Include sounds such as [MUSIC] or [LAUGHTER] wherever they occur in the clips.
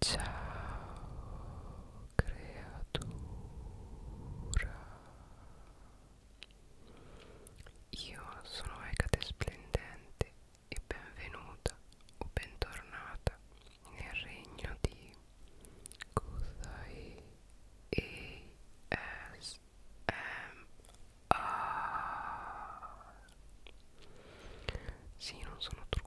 Ciao creatura Io sono Ecate Splendente e benvenuta o bentornata nel regno di Kuzai ASMR Sì, non sono truccata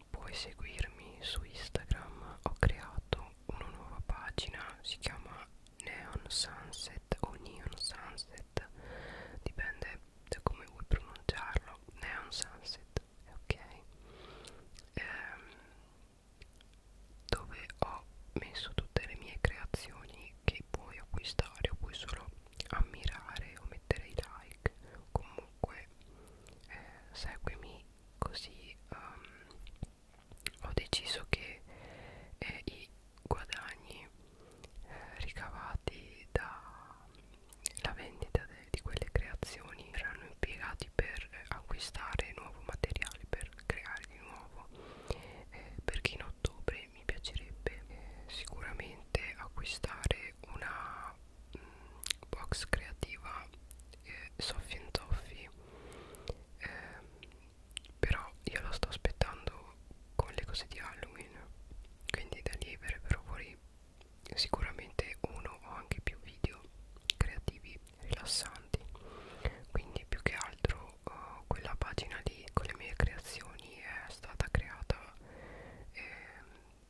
puoi seguirmi su Instagram ho creato una nuova pagina si chiama Neon Sunset o Neon Sunset dipende da come vuoi pronunciarlo Neon Sunset è ok ehm, dove ho messo tutte le mie creazioni che puoi acquistare o puoi solo ammirare o mettere i like comunque eh, seguimi così um, ho deciso che eh, i guadagni eh, ricavati dalla vendita de, di quelle creazioni erano impiegati per eh, acquistare nuovo materiale per creare di nuovo eh, perché in ottobre mi piacerebbe eh, sicuramente acquistare una box creativa eh, Soffi and Toffi eh, però io la sto aspettando con le cose di Halloween quindi da lì verrebbero fuori sicuramente uno o anche più video creativi rilassanti quindi più che altro uh, quella pagina lì con le mie creazioni è stata creata eh,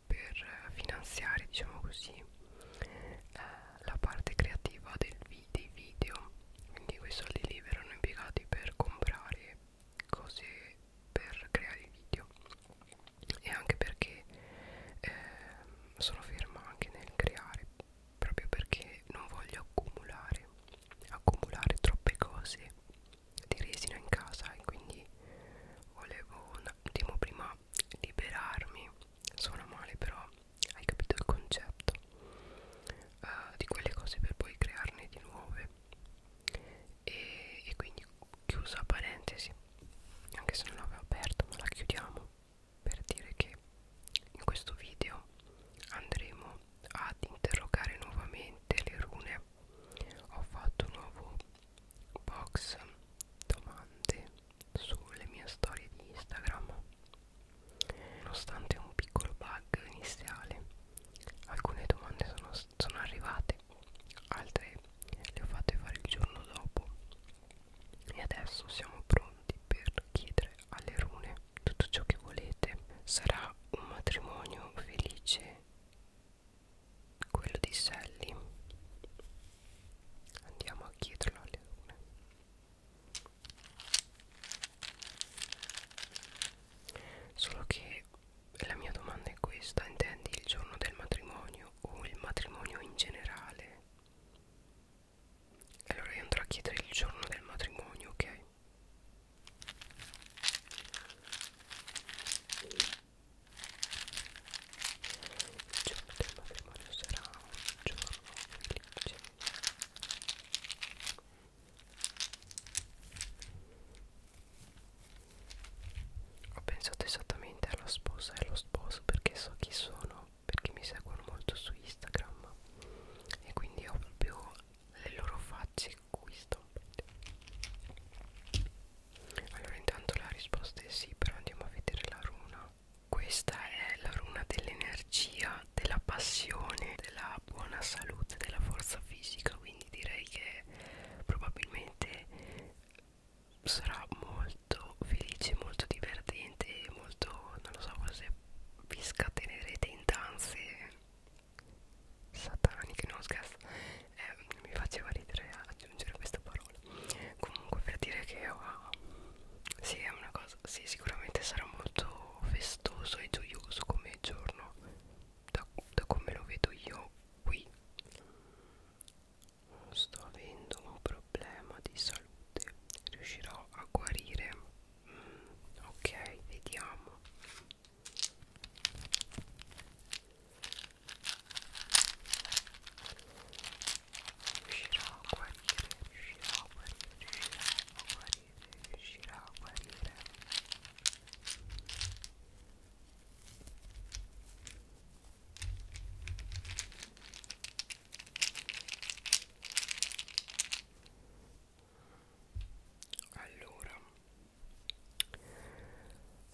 per finanziare diciamo così eh, la parte creativa del vi dei video quindi quei soldi lì verranno impiegati per comprare cose per creare i video e anche perché eh, sono ferma anche nel creare proprio perché non voglio accumulare accumulare troppe cose di resina in casa e quindi volevo un attimo prima liberarmi suona male però hai capito il concetto uh, di quelle cose per poi crearne di nuove e, e quindi chiusa parentesi anche se non l'avevo aperta ma la chiudiamo per dire che in questo video andremo ad interrogare nuovamente le rune ho fatto un nuovo box domande sulle mie storie di Instagram. Nonostante un piccolo bug iniziale, alcune domande sono, sono arrivate, altre le ho fatte fare il giorno dopo e adesso siamo pronti per chiedere alle rune tutto ciò che volete sarà un matrimonio felice quello di Sally andiamo a chiederlo alle lune solo che la mia domanda è questa intendi il giorno del matrimonio o il matrimonio in generale allora io andrò a chiedere il giorno del matrimonio ok il giorno del matrimonio sarà un giorno felice. Ho pensato esattamente alla sposa e allo sposo perché so chi sono, perché mi seguono molto su Instagram e quindi ho proprio le loro facce qui stampate. Allora intanto la risposta è sì, però andiamo a vedere la runa. Questa è la runa dell'energia, della passione, della buona salute, della forza fisica, quindi direi che probabilmente sarà molto felice, molto divertente e molto, non lo so, forse vi scatenerete in danze sataniche, no scherzo, eh, mi faceva ridere aggiungere questa parola comunque per dire che oh, sì è una cosa sì sicuramente sarà molto festoso e gioioso come giorno da, da come lo vedo io qui sto avendo un problema di salute riuscirò a guarire mm, ok vediamo riuscirà a guarire, riuscirà a guarire, riuscirà a guarire, riuscirà a guarire. Allora,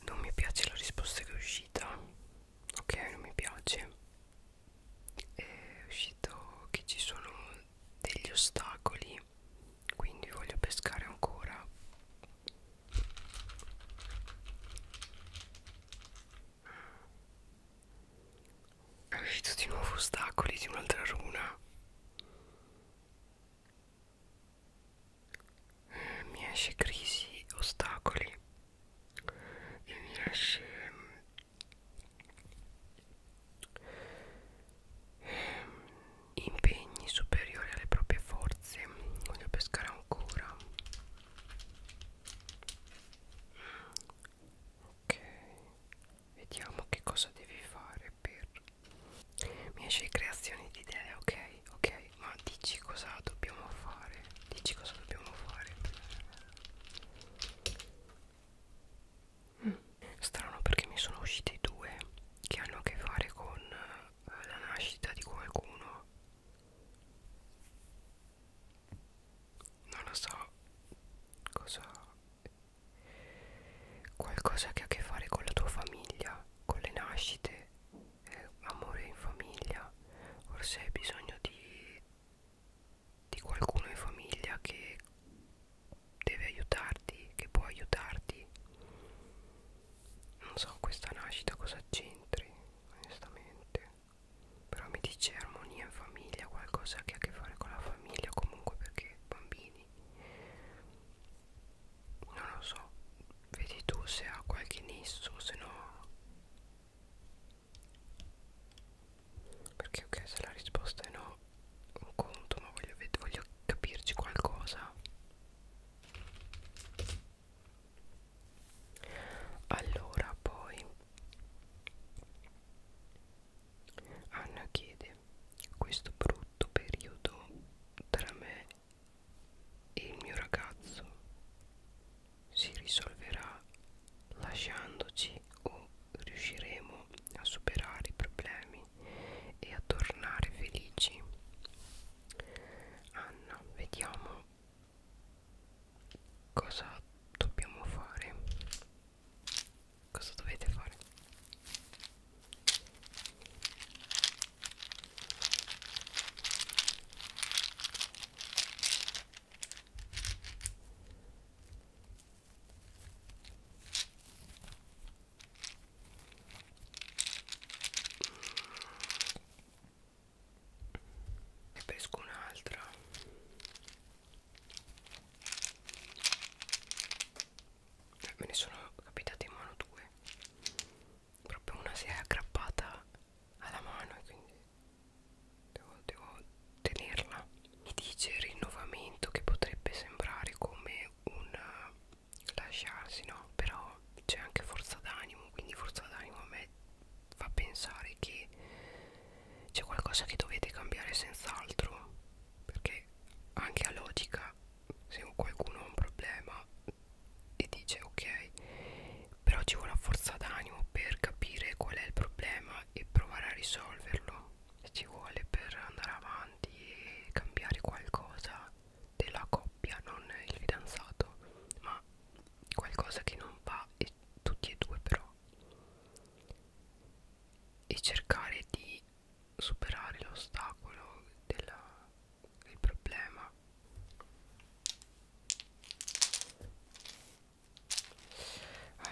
non mi piace la risposta che è uscita ok non mi piace è uscito che ci sono degli ostacoli quindi voglio pescare ancora è uscito di nuovo ostacoli di un'altra runa eh, mi esce crisi ostacoli e mi esce ehm, ehm, impegni superiori alle proprie forze voglio pescare ancora ok vediamo che cosa devi fare per mi esce creazione di idee ok ok ma dici cosa dobbiamo fare dici cosa dobbiamo fare mm. strano perché mi sono usciti due che hanno a che fare con eh, la nascita di qualcuno non lo so cosa qualcosa che ha a che fare con la tua famiglia con le nascite eh, amore in famiglia forse hai bisogno di, di qualcuno in famiglia che deve aiutarti che può aiutarti non so questa nascita cosa c'entri onestamente però mi dice armonia in famiglia qualcosa che ha a che fare con la famiglia comunque perché bambini non lo so Vedi tu se ha qualche nesso, se no... Perché ok, se la risposta è no, un conto, ma voglio, voglio capirci qualcosa. Allora, poi... Anna chiede questo brutto periodo tra me e il mio ragazzo si risolverà lasciandoci o riusciremo a superare i problemi e a tornare felici Anna vediamo cosa dobbiamo fare cosa dovete fare e pesco un'altra eh, me ne sono capitate in mano due proprio una si è aggrappata alla mano e quindi devo, devo tenerla mi dice il rinnovamento che potrebbe sembrare come un eh, lasciarsi no però c'è anche forza d'animo quindi forza d'animo a me fa pensare che c'è qualcosa che dovete cambiare senz'altro perché anche a logica se qualcuno ha un problema e dice ok però ci vuole una forza d'animo per capire qual è il problema e provare a risolverlo ci vuole per andare avanti e cambiare qualcosa della coppia non il fidanzato ma qualcosa che non va e tutti e due però e cercare di superare l'ostacolo della il problema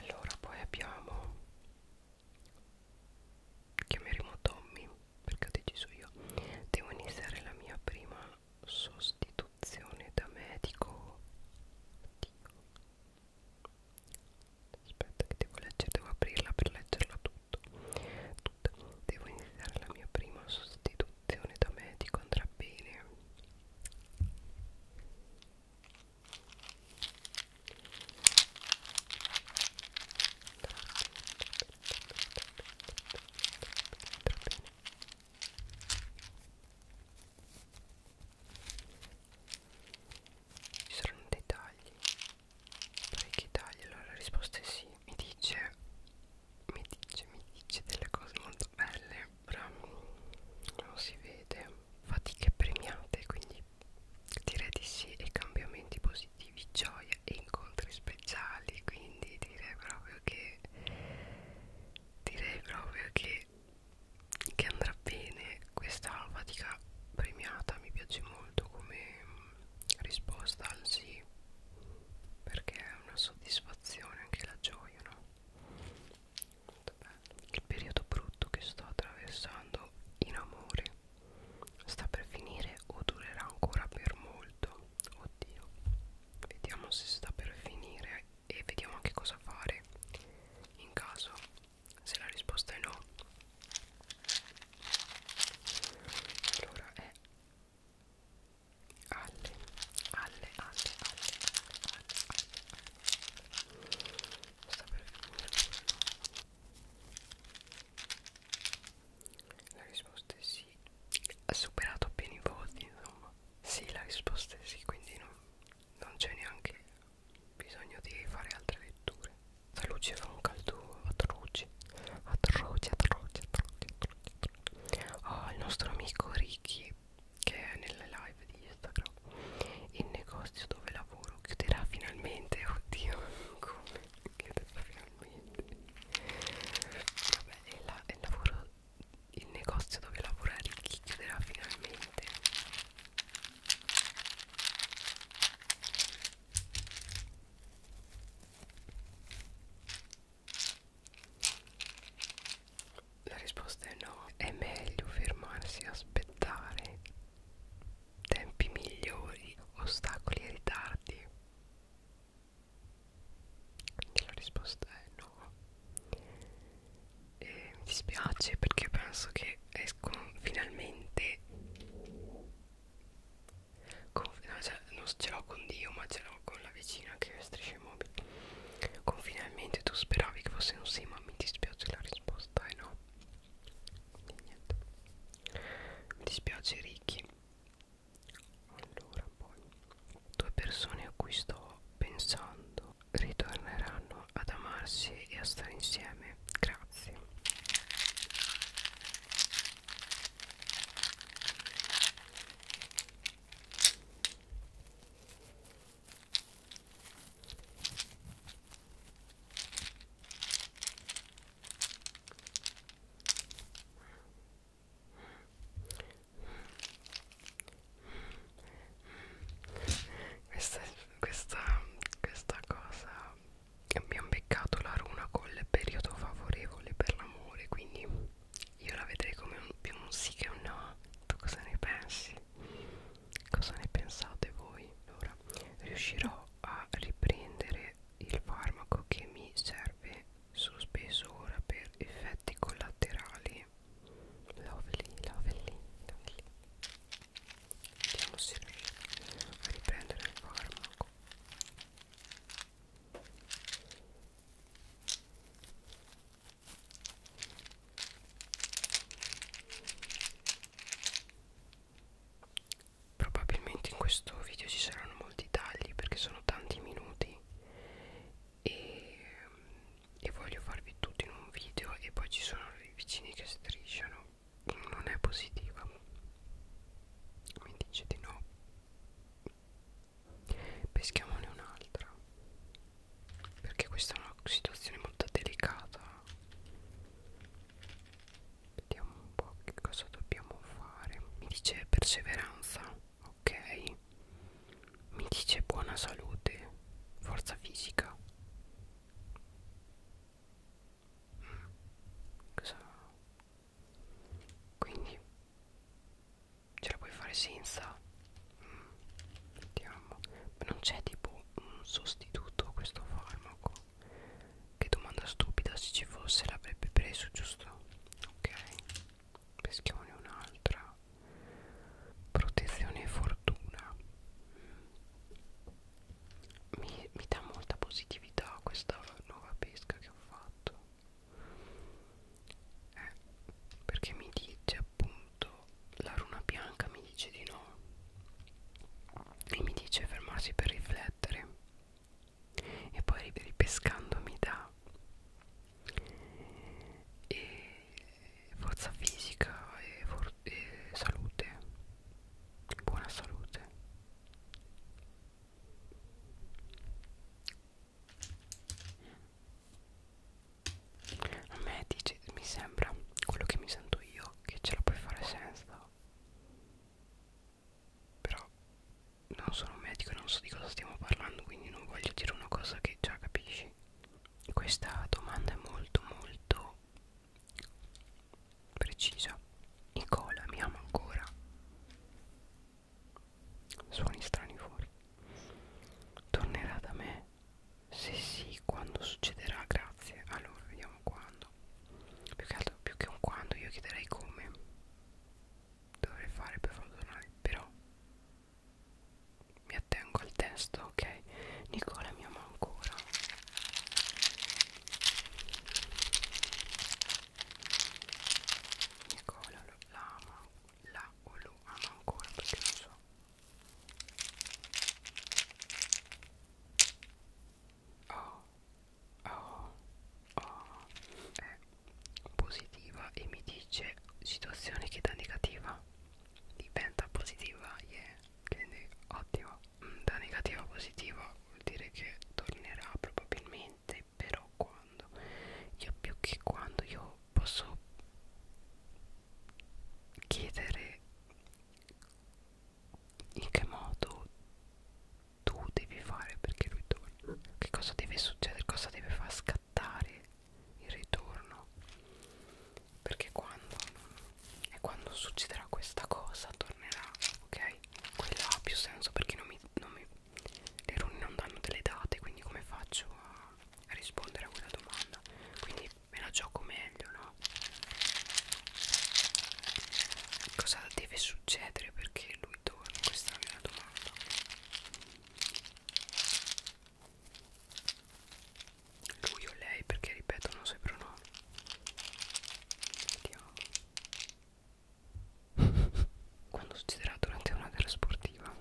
allora poi abbiamo chiameremo Tommy perché ho deciso io devo iniziare la mia prima sostituzione da medico aspetta che devo leggere devo aprirla per leggerla tutto tutta. devo iniziare la mia prima sostituzione sezione da me di contrabbene ci saranno dei tagli parecchi tagli allora la risposta è sì mi dice mi dice, mi dice delle cose molto belle però non si vede fatiche premiate quindi direi di sì e cambiamenti positivi gioia e incontri speciali quindi direi proprio che direi proprio che che andrà bene questa fatica premiata mi piace molto come risposta al sì perché è una soddisfazione anche la gioia no? Molto bello. il periodo brutto che sto attraversando in amore sta per finire o durerà ancora per molto oddio vediamo se sta per finire e vediamo anche cosa fare in caso se la risposta è no allora è alle, alle, alle, alle, alle, alle, alle. Sta per finire. La risposta è sì. Ha superato appena i voti, insomma. Sì, la risposta è sì, quindi non, non c'è neanche bisogno di fare altre letture. La luce fa un caldo atroce, atroce, atroce, atroce, atroce oh, il nostro amico Ricky che è nelle live di Instagram il negozio dove lavoro chiuderà finalmente oddio [LAUGHS] come chiuderà finalmente vabbè è la, è il lavoro il negozio dove lavora Ricky chiuderà finalmente la risposta è no, è meglio fermarsi e aspettare tempi migliori, ostacoli e ritardi. Quindi la risposta è no. E mi dispiace perché penso che escono finalmente Confine, no, cioè, non ce l'ho con Dio ma ce l'ho con la vicina che strisce i mobili Confinalmente tu speravi che fosse un sì ma mi dispiace la risposta è eh, no e niente. Mi dispiace Ricky Allora poi Due persone a cui sto pensando ritorneranno ad amarsi e a stare insieme Grazie questa, questa, questa cosa abbiamo beccato la runa col periodo favorevole per l'amore quindi io la vedrei come un, più un sì che un no tu cosa ne pensi? cosa ne pensate voi? allora riuscirò a riprendere il farmaco che mi serve sospeso ora per effetti collaterali lovely lovely lovely vediamo se riesco a riprendere il farmaco Probabilmente in questo video ci saranno molti tagli perché sono tanti minuti e, e voglio farvi tutto in un video e poi ci sono i vicini che strisciano. Non è positiva. Mi dice di no peschiamone un'altra perché questa è una situazione molto delicata vediamo un po' che cosa dobbiamo fare mi dice perseveranza ok mi dice buona salute forza fisica mm. cosa quindi ce la puoi fare senza mm, vediamo ma non c'è tipo un sostituto a questo farmaco che domanda stupida se ci fosse l'avrebbe preso giusto ok peschiamone un'altra protezione e fortuna mi, mi dà molta positività questa nuova pesca che ho fatto eh, perché mi dice appunto la runa bianca mi dice di no e mi dice fermarsi per riflettere e poi ripescando mi dà e eh, forza fisica e, for e salute buona salute a me dice, mi sembra quello che mi sento io che ce la puoi fare senza Però non sono un medico e non so di cosa stiamo parlando quindi non voglio dire una cosa che già capisci Questa domanda è molto molto precisa Nicola mi ama ancora Suoni strani fuori. Tornerà da me? Se sì, quando succederà? Grazie. Allora, vediamo quando. Più che altro, più che un quando, io chiederei come dovrei fare per farlo tornare. Però mi attengo al testo, ok? Nicola mi ama ancora. Nicola ecco, lo, la ama, la o lo ama ancora perché non so Oh, oh, oh è positiva e mi dice situazione che da negativa diventa positiva, yeah, quindi ottimo mm, da negativa a positiva vuol dire che tornerà probabilmente però con quando io più che quando io posso chiedere in che modo tu devi fare perché lui torna che cosa deve succedere cosa deve far scattare il ritorno perché quando e quando succederà questa cosa tornerà ok quello ha più senso perché non mi, non mi le rune non danno delle date quindi come faccio a rispondere a quella domanda quindi me la gioco meglio no cosa deve succedere perché lui torna questa è la mia domanda lui o lei perché ripetono i suoi pronomi vediamo [LAUGHS] quando succederà durante una gara sportiva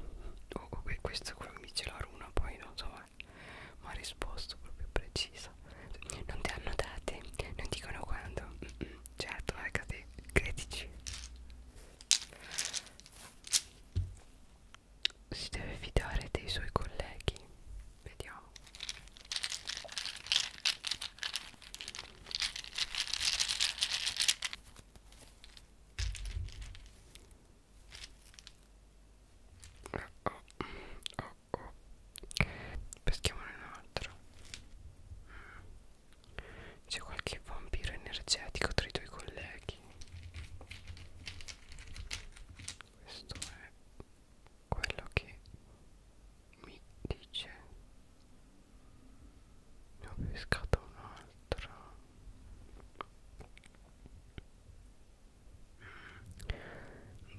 oh, okay, questo è quello che mi dice la runa poi non so mai eh, ma ha risposto proprio precisa non ti hanno date non dicono quando certo ragazzi ecco credici si deve fidare dei suoi colleghi vediamo Oh, oh, oh, oh. Peschiamone un altro. Mm. C'è qualche vampiro energetico tra i tuoi colleghi. Questo è quello che mi dice ne ho pescata un'altra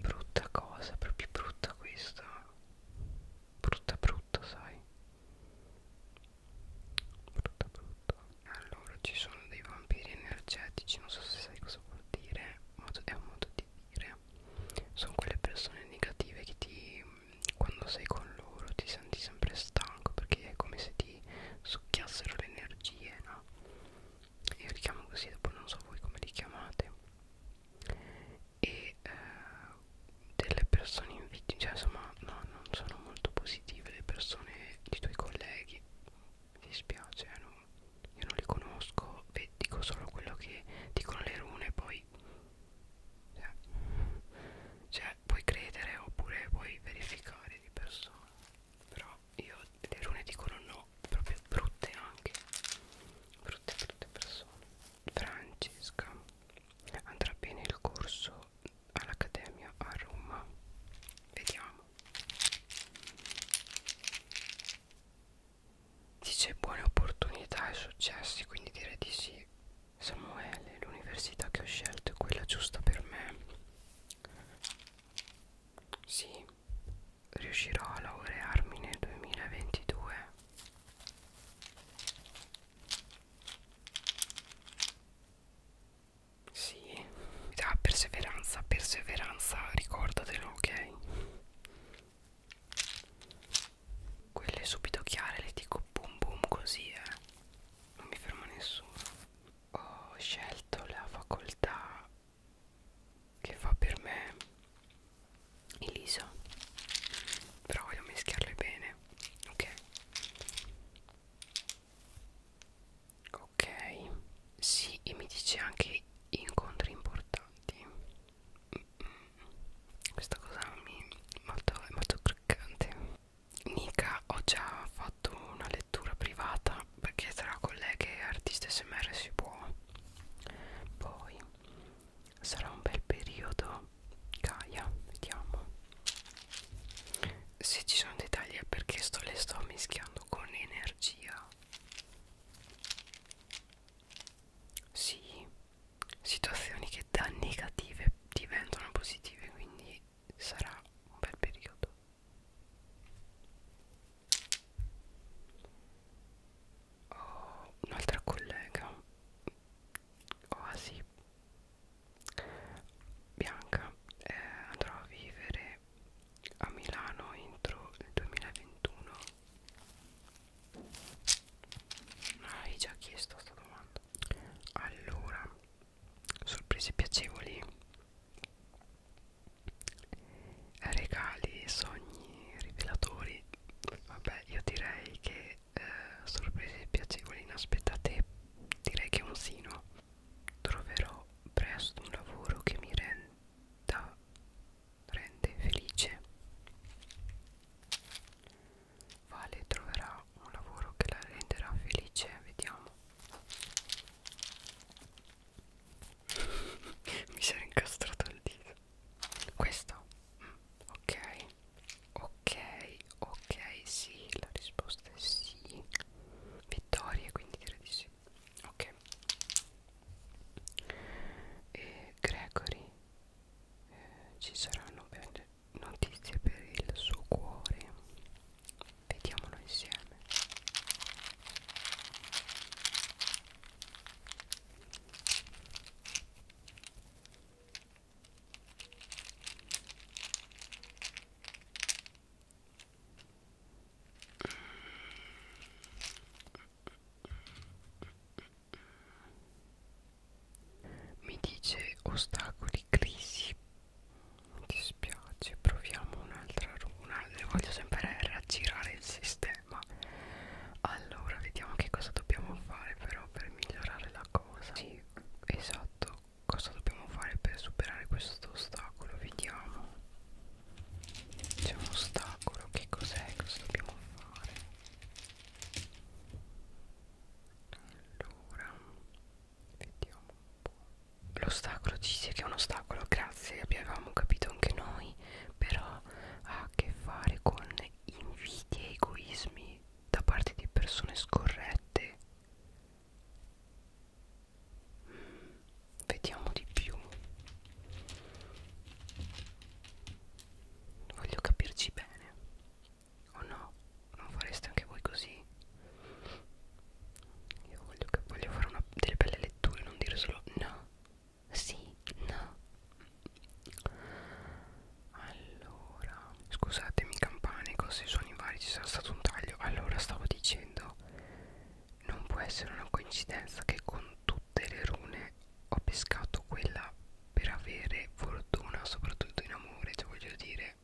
brutta cosa proprio brutta questa brutta brutta sai brutta brutta allora ci sono dei vampiri energetici non so se sai cosa vuol dire ma è un modo di dire sono quelle persone negative che ti quando sei con loro ti senti sempre stanco perché è come se ti succhiassero le energie no? io li chiamo così dopo non so voi come li chiamate e eh, delle persone invidie cioè insomma no, non sono molto positive le persone di tuoi colleghi mi dispiace eh, non, io non li conosco e dico solo quello che dicono le rune poi cioè, cioè puoi credere oppure puoi verificare di persona però io le rune dicono no proprio brutte anche brutte brutte persone Francesca andrà bene il corso all'accademia a Roma vediamo Dice buone opportunità e successi, quindi direi di sì. Samuele, l'università che ho scelto è quella giusta per me. Sì, riuscirò a laurearmi nel 2022. Sì, ah, perseveranza, perseveranza, ricordatelo, ok? Quelle subito chiare le dico boom boom così eh Non mi ferma nessuno Ho scelto la facoltà che fa per me Elisa Però voglio mischiarle bene Ok Ok Sì e mi dice anche incontri importanti questa cosa mi molto, è molto croccante Nika ho già fatto una lettura privata perché tra colleghe e artiste smr si può poi sarà un bel periodo Gaia vediamo se ci sono dettagli è perché sto, le sto mischiando con energia sì situazioni che da negative diventano positive quindi sarà un bel periodo ho un'altra collega oasi bianca eh, andrò a vivere a Milano entro il 2021 hai già chiesto sta domanda Allora Sorprese piacevoli Regali, sogni, rivelatori Vabbè io direi che eh, Sorprese piacevoli inaspettate Direi che è un sino Troverò presto un lavoro che mi renda rende felice Vale troverà un lavoro che la renderà felice vediamo [LAUGHS] mi si è incastrato il dito questo mm, ok ok ok sì la risposta è sì vittoria quindi direi di sì ok e Gregory eh, ci saranno belle notizie per il suo cuore vediamolo insieme Mm mi dice ostacoli crisi mi dispiace proviamo un'altra runa ne voglio sempre raggirare il sistema allora vediamo che cosa dobbiamo fare però per migliorare la cosa sì esatto cosa dobbiamo fare per superare questo ostacolo vediamo c'è un ostacolo che cos'è cosa dobbiamo fare allora, vediamo un po'. L'ostacolo ci dice che è un ostacolo, grazie, abbiamo capito anche noi, però ha a che fare con invidie e egoismi da parte di persone scorrette. Mm, vediamo di più. Voglio capirci bene. O oh no? Non fareste anche voi così? Io voglio, voglio fare una, delle belle letture, non dire solo no. Sì, no. Allora, scusatemi campane, cose suoni vari, ci sarà stato un taglio. Allora, stavo dicendo, non può essere una coincidenza che con tutti delle rune ho pescato quella per avere fortuna soprattutto in amore cioè voglio dire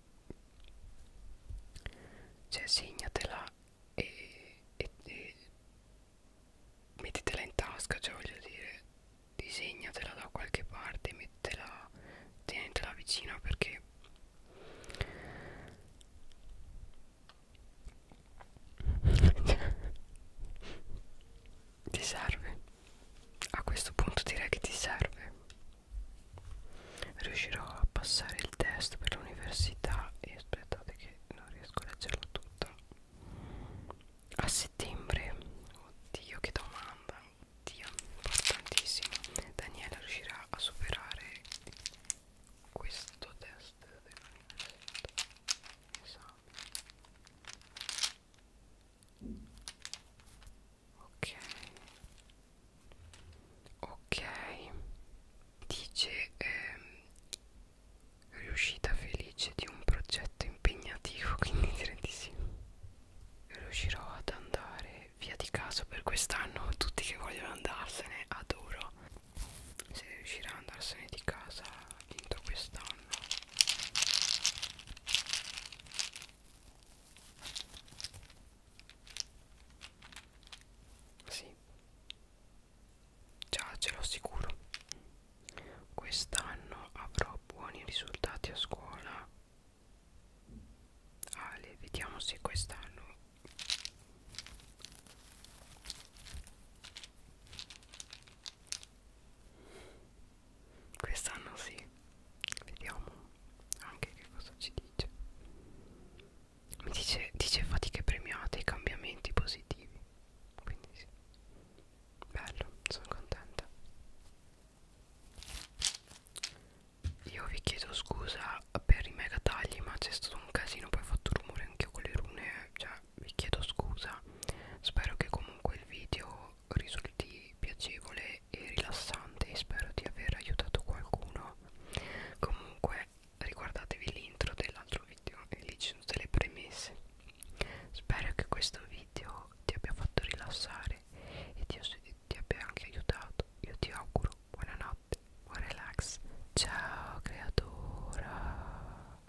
cioè segnatela e, e, e mettetela in tasca cioè voglio dire disegnatela da qualche parte mettetela tenetela vicina perché ti serve a questo punto direi che ti serve riuscirò a passare il test per l'università e aspettate che non riesco a leggerlo tutta a settembre oddio che domanda oddio importantissimo Daniela riuscirà a superare questo test dell'università esame ok ok dice ehm, riuscita felice di un progetto impegnativo quindi [LAUGHS] direi di sì riuscirò ad andare via di casa per quest'anno [LAUGHS] tutti che vogliono andarsene adoro se riuscirà ad andarsene di casa dentro quest'anno sì, già ce l'ho sicuro. Quest'anno avrò buoni risultati a scuola. Ale, vediamo se quest'anno Quest'anno sì, vediamo anche che cosa ci dice. Mi dice, dice fatiche premiate e cambiamenti positivi. Quindi sì. Bello, sono contenta. Io vi chiedo scusa per i mega tagli, ma c'è stato un casino, poi ho fatto rumore anch'io con le rune, cioè vi chiedo scusa spero che comunque il video risulti piacevole e rilassante e spero di aver aiutato qualcuno comunque riguardatevi l'intro dell'altro video e lì ci sono delle premesse spero che questo video ti abbia fatto rilassare e ti, ti abbia anche aiutato io ti auguro buonanotte buon relax ciao creatura